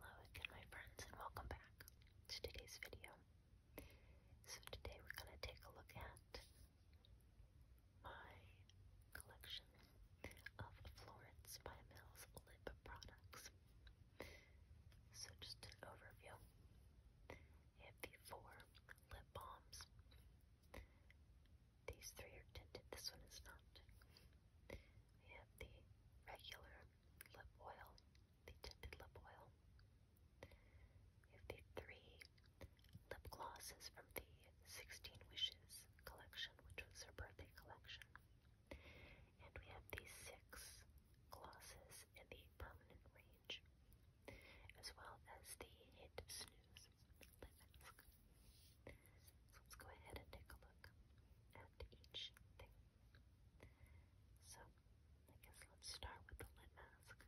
Hello again my friends and welcome back to today's video. So today we're going to take a look at my collection of Florence by Mills lip products. So just an overview. I have the four lip balms. These three are tinted. This one is not. We have the regular lip oil, the tinted lip oil. We have the three lip glosses from the 16 Wishes collection, which was her birthday collection. And we have the six glosses in the permanent range, as well as the Hit Snooze lip mask let's go ahead and take a look at each thing. So I guess let's start with the lid mask.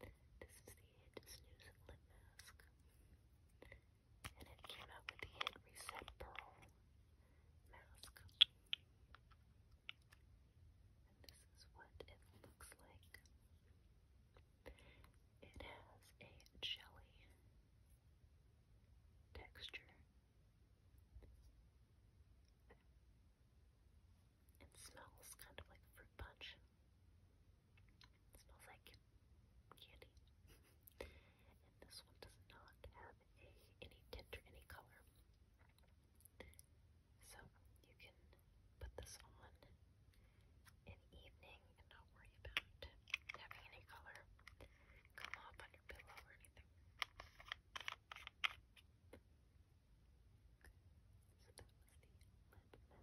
This is the Snooze Lip Mask and it came out with the hit Reset mask. this is what it looks like. It has a jelly texture. It smells kind of like fruit punch. It smells like candy. and this one does not have any tint or any color. So you can put this on in the evening and not worry about having any color come up on your pillow or anything. So that was the lip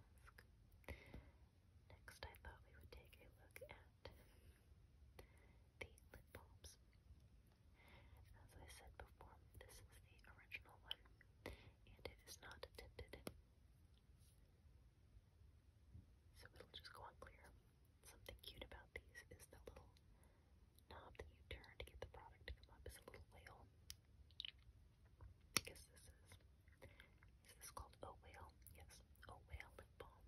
mask. Next, I thought we would take a look at the lip balms. As I said before, this is the original one, and it is not tinted. So it'll just go on clear. Something cute about these is the little knob that you turn to get the product to come up is a little whale because this is, is called Oh Whale? Yes, Oh Whale Lip Balm.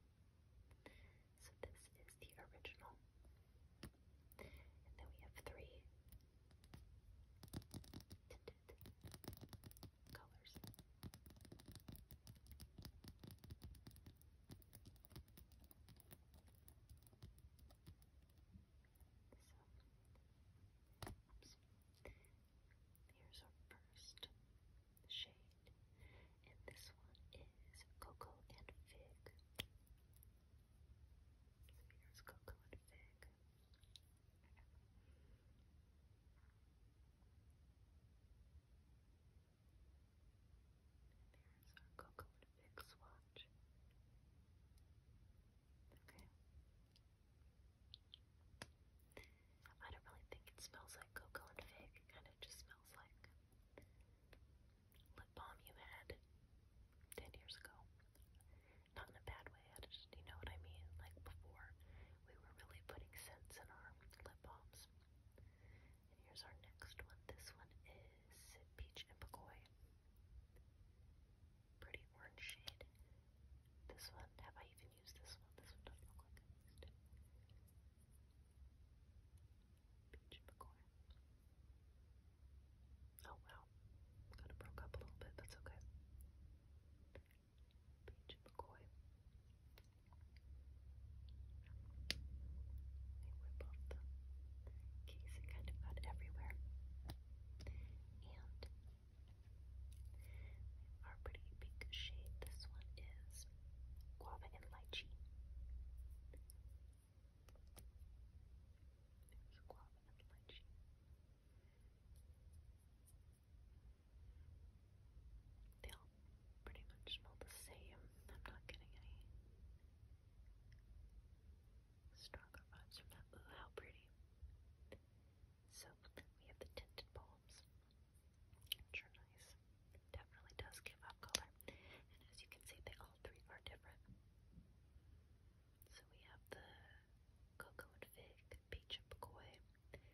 So this is the original. And then we have three tinted colors. So, oops. Here's our first shade, and this one is Cocoa and Fig. So here's Cocoa and Fig. there's our Cocoa and Fig swatch. Okay. I don't really think it smells like cocoa and fig. It kind of just smells like lip balm you had 10 years ago. Not in a bad way, I just, you know what I mean? Like before, we were really putting scents in our lip balms. And here's our next one. This one is peach and pagoy pretty orange shade. This one, have I even used this one? This one doesn't look like it. Peach McCoy. Oh wow, kind of broke up a little bit, that's okay. Peach McCoy. They rip the case, kind of got everywhere. And our pretty pink shade. This one is guava and lychee. guava and lychee. They all pretty much smell the same. I'm not getting any Stronger runs Ooh, how pretty. So we have the tinted bulbs. Sure nice. definitely does give up color. And as you can see, they all three are different. So we have the cocoa and fig, peach and pokoi, and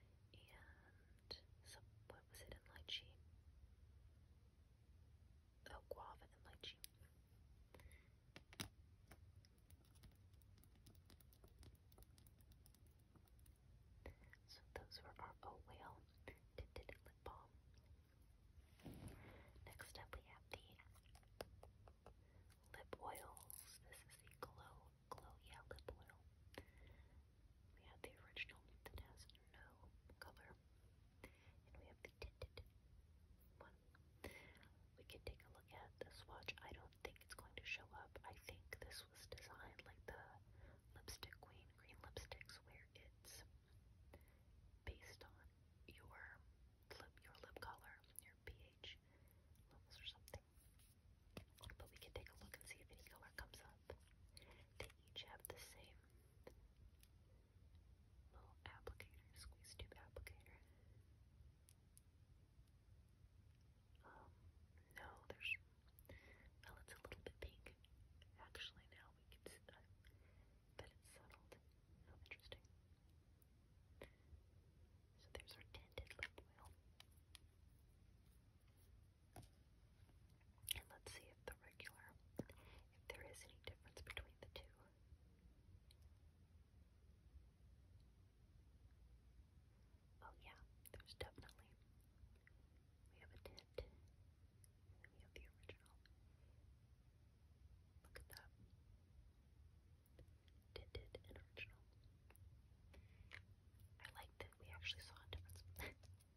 what was it in lychee? Oh, guava and lychee. So those were our Oh Whale Tinted Lip Balm. Next up we have the lip oils. This is the Glow, Glow Yeah Lip Oil. We have the original that has no color we have the tinted one. We can take a look at this swatch. I don't think it's going to show up. I think this was designed like the Lipstick Queen green lipsticks where it's based on your lip, your lip color, your pH levels or something. But we can take a look and see if any color comes up. They each have the same Little applicator, squeeze tube applicator. Um, no, there's, well, it's a little bit pink. Actually, now we can see that, but it's settled. Oh, interesting. So there's our tinted lip oil. And let's see if the regular, if there is any difference between the two. Oh yeah, there's definitely. We have a tint, we have the original. Look at that. Tinted and original. I like that we actually saw a difference. Alright,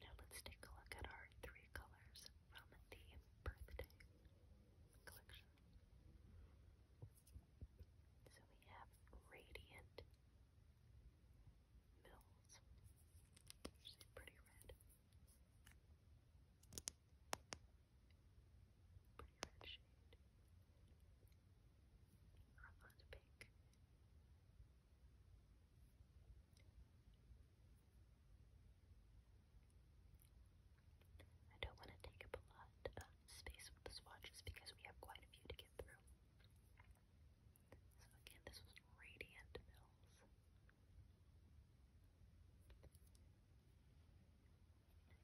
now let's take a look at our three colors from the birthday collection. So we have Radiant Mills, pretty red. Pretty red shade. Armand Pink. I don't want to take up a lot lot of space with the swatches because we have quite a few to get through. So again, this was Radiant Mills.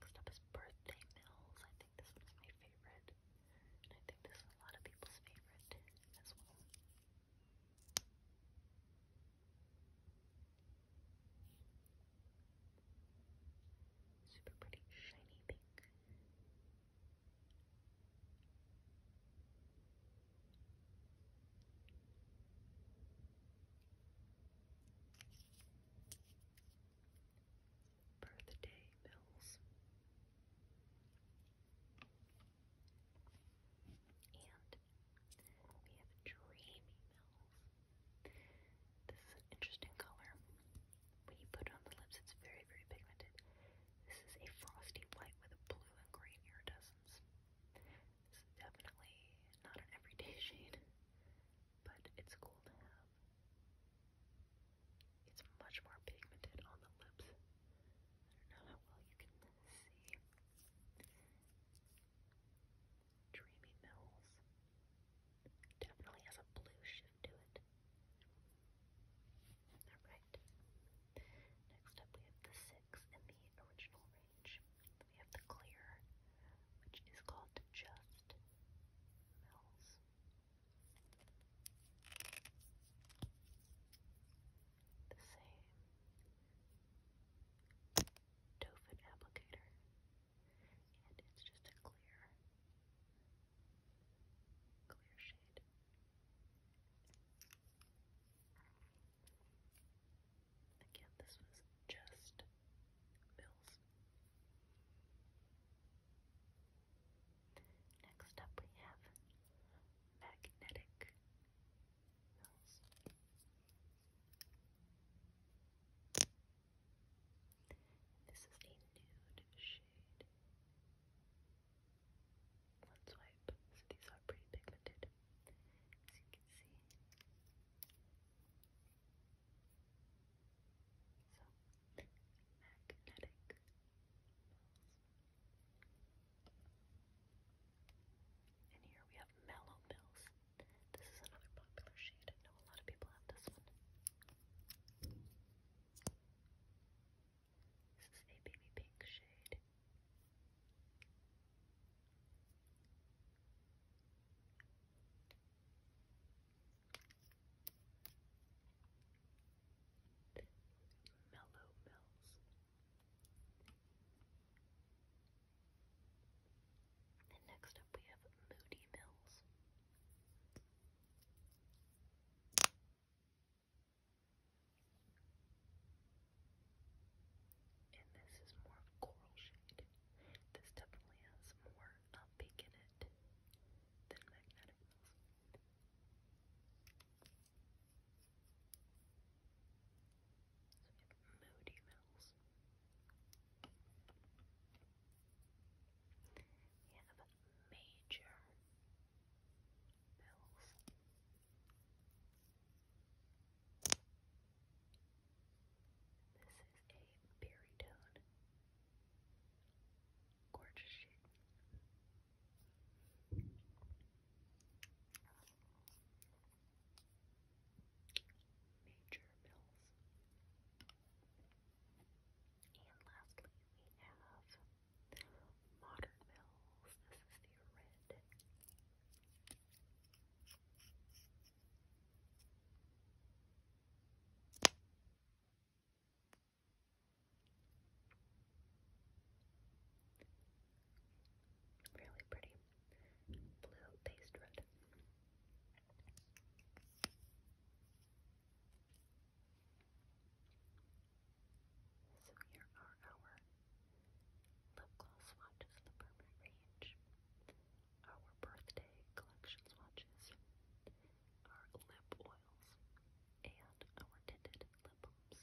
Next up is Birthday Mills. I think this is my favorite. And I think this is a lot of people's favorite as well. Super pretty shiny pink. Birthday bills. And we have dreamy mills. This is an interesting color. When you put it on the lips, it's very, very pigmented. This is a frosty white with a blue and green iridescence. This is definitely not an everyday shade, but it's cool to have. It's much more pigmented on the lips. I don't know how well you can see. Dreamy Mills. Definitely has a blue shift to it. Alright. Next up we have the six in the original range. We have the clear, which is called just Mills. The same. Tofin applicator, and it's just a clear, clear shade. Again, this was just Mills. Next up, we have magnetic mills. This is a nude shade. Let's wipe. So these are pretty pigmented, as you can see. So, magnetic. And here we have Mellow Mills. This is another popular shade. I know a lot of people have this one. This is a baby pink shade. Mellow Mills. And next up we have Moody Mills. And this is more coral shade. This definitely has more uh, in it than Magnetic Mills. So we moody metals. We have major metals. This is a baritone. Gorgeous shape major bills. And lastly, we have modern bills. This is the red. Really pretty. Blue paste So here are our lip gloss swatches, the permanent range, our birthday collection swatches, our lip oils, and our tinted lip balms.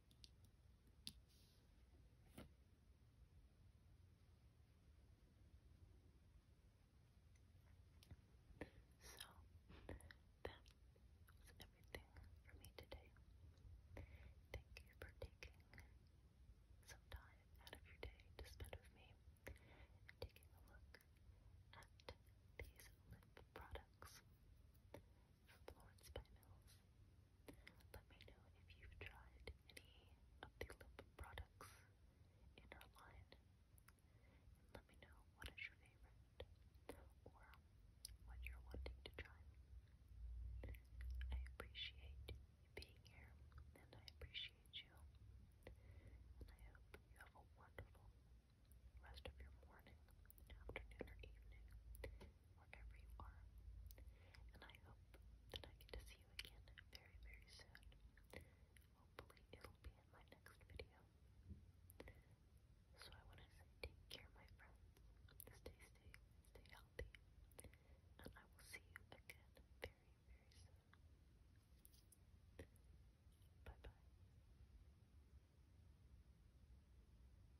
So, that everything for me today. Thank you for taking some time out of your day to spend with me and taking a look at these lip products. Florence by Let me know if you've tried any of the lip products in our line. let me know what is your favorite or what you're wanting to try. I appreciate you being here and I appreciate you. And I hope you have a wonderful rest of your morning, afternoon, or evening wherever you are. And I hope that I get to see you again very, very soon. Hopefully, it'll be in my next video. So I want to say take care, my friends. Stay safe, stay healthy, and I will see you again very, very soon. Bye bye.